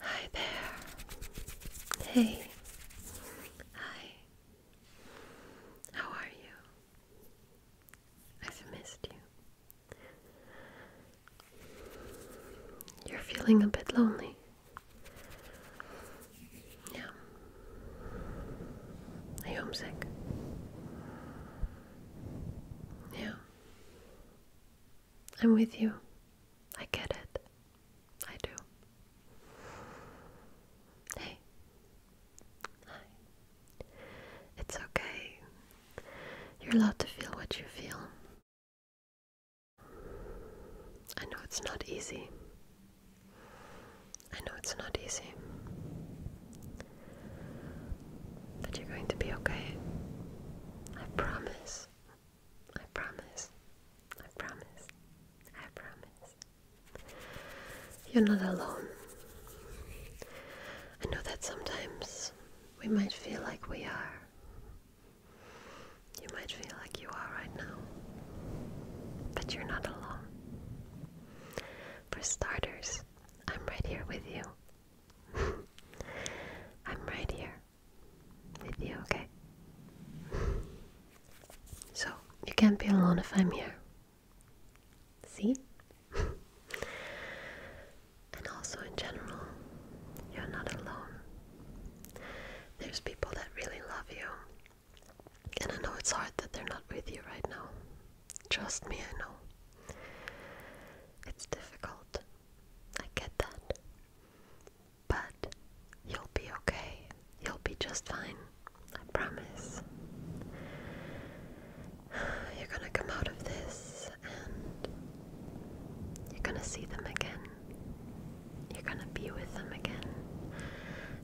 Hi there. Hey. Hi. How are you? I've missed you. You're feeling a bit lonely. Yeah. Are you homesick? Yeah. I'm with you. I get it. I do. Hey. It's okay. You're allowed to feel what you feel. I know it's not easy. I know it's not easy. But you're going to be okay. I promise. I promise. I promise. I promise. You're not alone. I know that sometimes we might feel like we are. You might feel like you are right now. But you're not alone. For starters, I'm right here with you. I'm right here with you, okay? so, you can't be alone if I'm here. See? and also, in general, you're not alone. There's people that really love you. And I know it's hard that they're not with you right now. Trust me, I know. It's difficult. I get that. But you'll be okay. You'll be just fine. I promise. You're gonna come out of this and you're gonna see them again. You're gonna be with them again.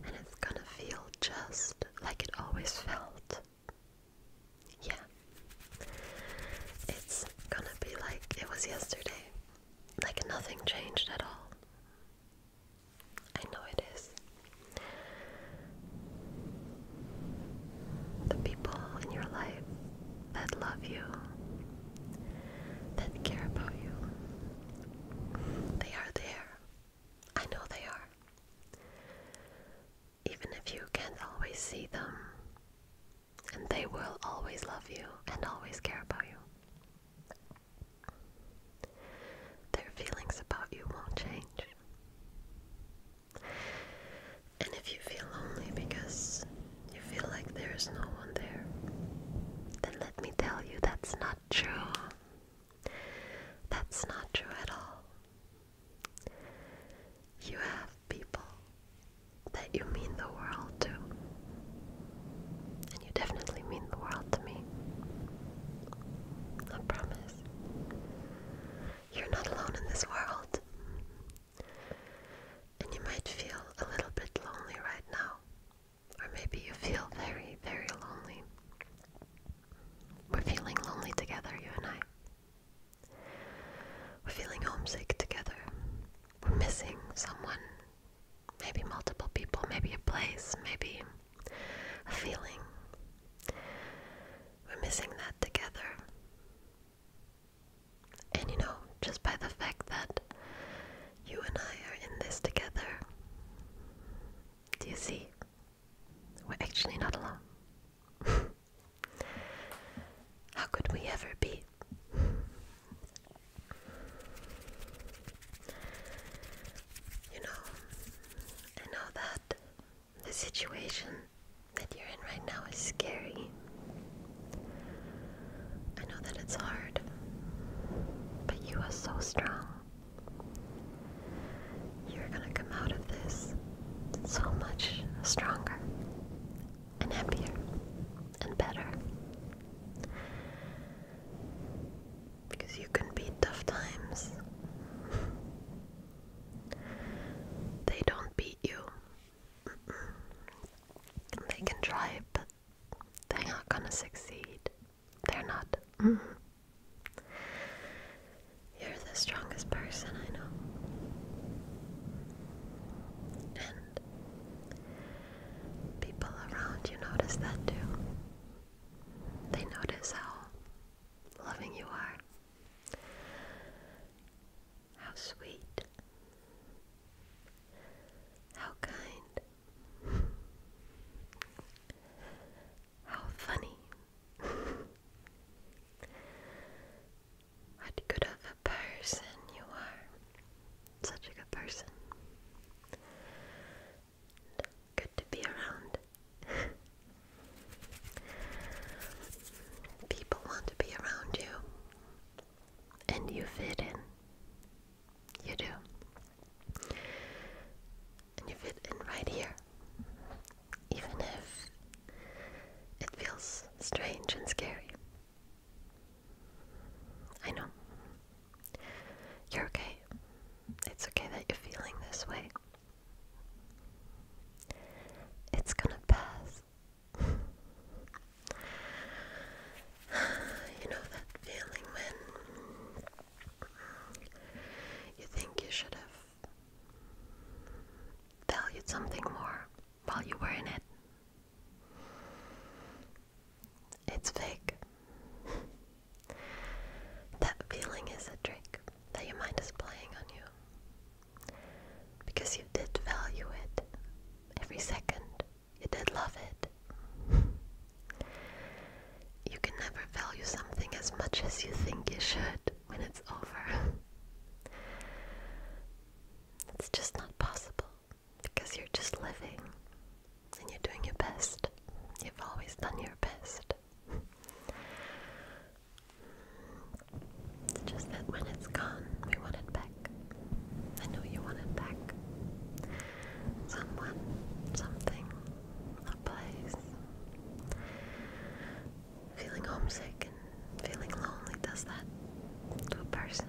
And it's gonna feel just like it always felt. Yeah. It's gonna be like it was yesterday. Like nothing changed at all. I know it is. The people in your life that love you, that care about you, they are there. I know they are. Even if you can't always see them, and they will always love you and always care about you. Their feelings about you won't change. And if you feel lonely because you feel like there is no one there, then let me tell you that's not true. That's not true at all. You have people that you mean the world to. And you definitely mean the world to me. I promise. You're not alone in this world. And you might feel a little bit lonely right now. Or maybe you feel very, very lonely. We're feeling lonely together, you and I. We're feeling homesick together. We're missing someone. Maybe multiple people, maybe a place, maybe a feeling. We're missing that together. And you know, just by the fact that you and I are in this together, do you see? We're actually not alone. How could we ever be? You know, I know that the situation that you're in right now is scary. I know that it's hard, but you are so strong. You're gonna come out of this so much stronger and happier and better. Because you can beat tough times. they don't beat you. They can try, but they're not gonna succeed. They're not. Mm-hmm. You're the strongest person I know. And people around you notice that too. They notice how loving you are, how sweet, how kind, how funny. What good of a person you are. Such a good person. good to be around. People want to be around you. And you fit in. You do. And you fit in right here even if it feels strange and scary. I know. You're okay. It's okay that you're feeling this way. It's gonna pass. you know that feeling when you think you should have valued something more while you were in it. It's fake. that feeling is a trick that your mind is playing on you. Because you did value it every second, you did love it. you can never value something as much as you think you should when it's over. it's just not possible because you're just living and you're doing your best. You've always done your best. just that when it's gone, we want it back. I know you want it back. Someone, something, a place feeling homesick and feeling lonely does that to a person.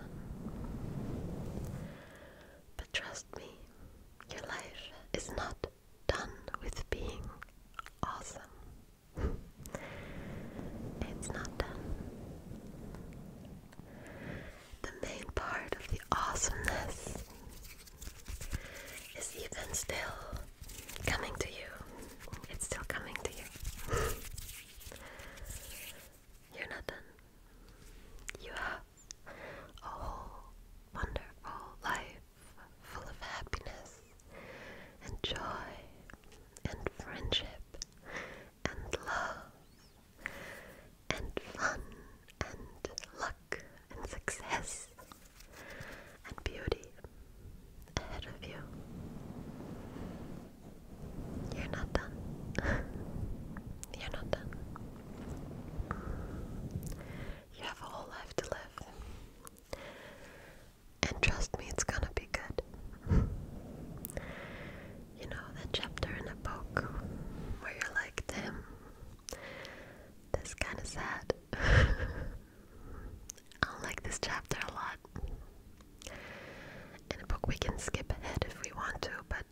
But trust me, your life is not done with being awesome. it's not done. The main part of the awesomeness is even still coming to you. It's still coming to you. You're not done. You have a whole wonderful life full of happiness and joy and friendship and love and fun and luck and success and beauty ahead of you. You're not done. You're not done. You have a whole life to live. And trust me, it's gonna be good. you know, that chapter in a book where you're like, damn, this kind of sad. I like this chapter a lot. In a book, we can skip ahead if we want to, but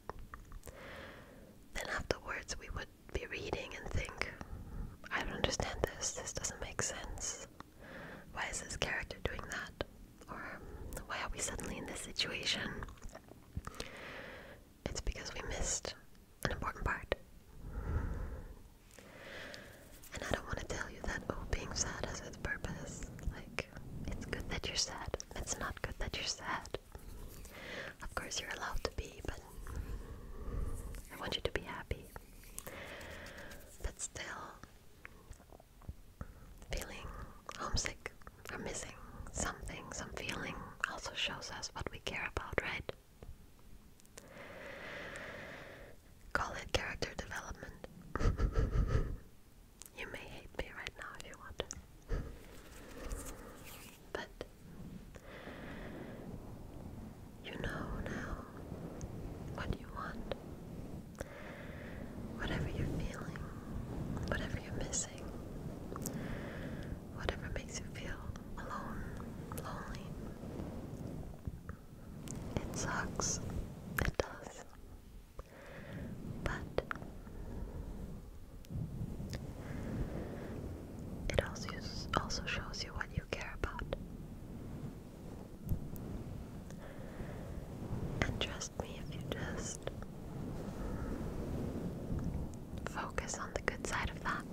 then afterwards we would be reading and think, I don't understand this, this doesn't make sense. Why is this character doing that? Or why are we suddenly in this situation? It's because we missed an important part. And I don't want to tell you that, oh, being sad has its purpose. Like, it's good that you're sad. It's not good that you're sad. Of course, you're allowed to be, but I want you to be happy. But still, feeling homesick or missing something, some feeling also shows us what we care about, right? Call it character development. you may hate me right now if you want. But you know now what you want. Whatever you're feeling, whatever you're missing, whatever makes you feel alone, lonely. It sucks. It does. But it also also shows you what you care about. And trust me, if you just focus on the good side of that,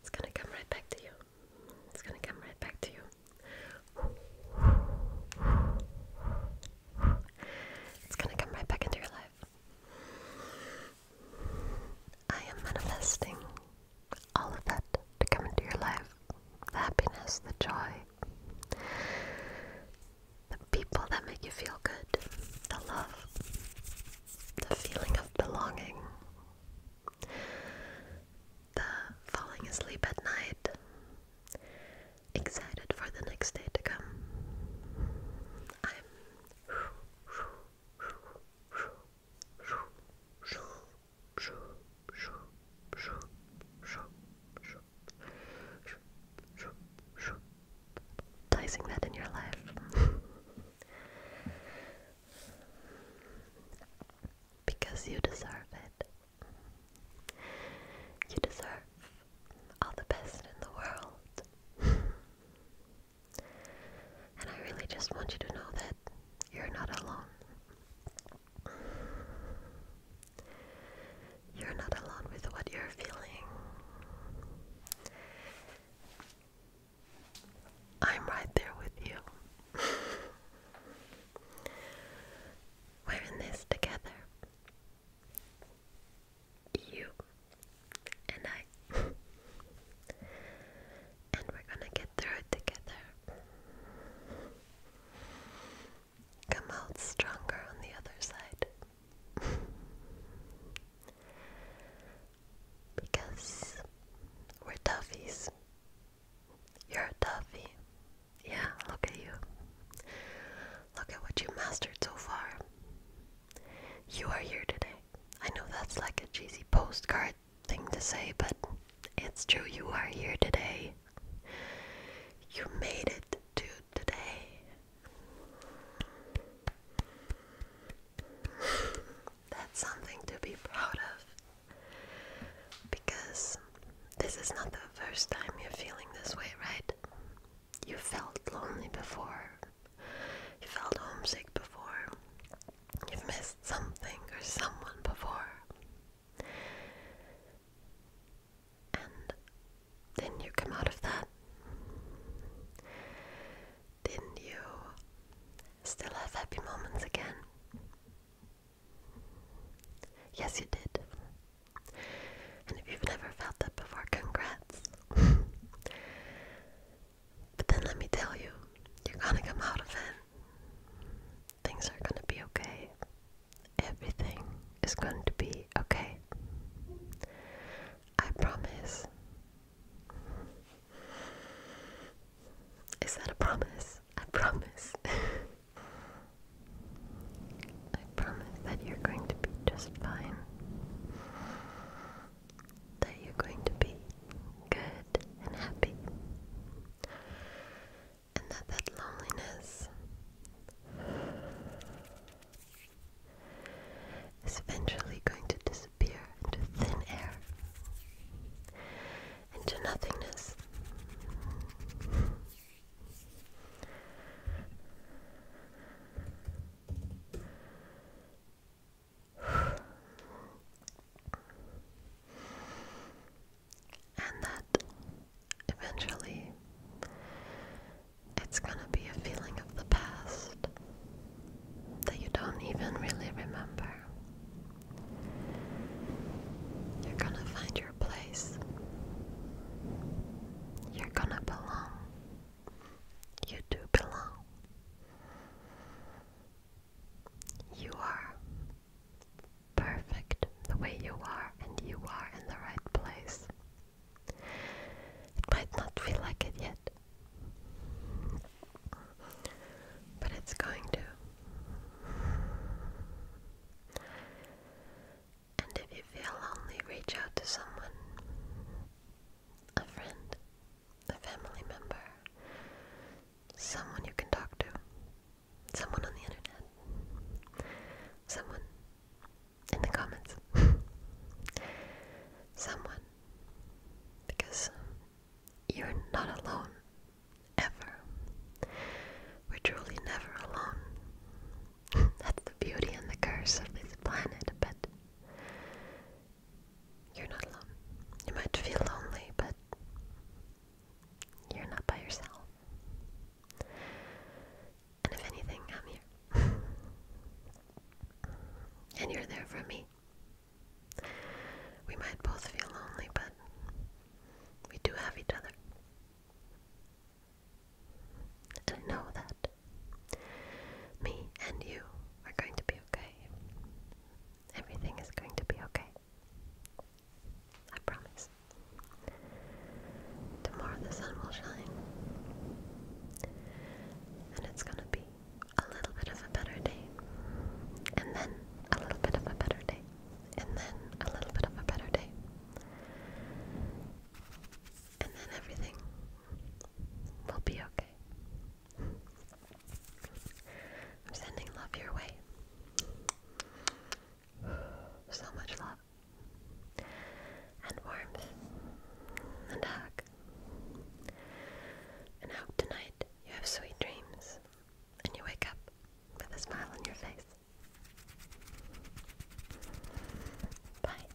it's gonna come right back to you. It's gonna come right back to you. It's gonna come right back into your life. I am manifesting all of that to come into your life the happiness, the joy, the people that make you feel good, the love, the feeling of belonging, the falling asleep at night, excited for the next day to come. I'm dicing that in your life. Because you deserve it. You deserve all the best in the world. and I really just want you to know that you're not alone. You're not alone with what you're feeling. I'm right there with you. We're in this together. You and I. and we're gonna get through it together. Come out stronger on the other side because we're toughies. You're a toughie. Yeah, look at you. Look at what you mastered so far. You are here today. I know that's like a cheesy postcard thing to say, but it's true. You are here today. You made it to today. That's something to be proud of. Because this is not the first time you're feeling this way, right? You felt lonely before, you felt homesick before, you've missed something or someone before. And then you come out of that. Then you still have happy moments again. Yes, you did. And if you've never felt that before, congrats. but then let me tell you, you're gonna come out of it. Things are gonna be okay. Everything is going to be okay. I promise. Is that a promise? I promise. I promise that you're going to be just fine. That you're going to be good and happy. And that that loneliness is eventually going to disappear into thin air, into nothingness. And that eventually it's gonna be a feeling of the past that you don't even really remember. You're gonna find your place. You're gonna belong. You do belong. You are perfect the way you are, and you are in the right place. It might not feel like it yet, but it's going to. And if you feel lonely, reach out to someone a friend, a family member, someone you can talk to, someone on the internet, someone in the comments. Someone. Because you're not alone. Ever. We're truly never alone. That's the beauty and the curse of this planet, but you're not alone. You might feel lonely, but you're not by yourself. And if anything, I'm here. and you're there for me. We might both feel lonely, but we do have each other. And I know that me and you are going to be okay. Everything is going to be okay. I promise. Tomorrow the sun will shine. And it's gonna be a little bit of a better day. And then a little bit of a better day. And then a little bit of a better day. And then everything will be okay. I'm sending love your way. So much love and warmth and hug. And hope tonight you have sweet dreams and you wake up with a smile on your face. Bye.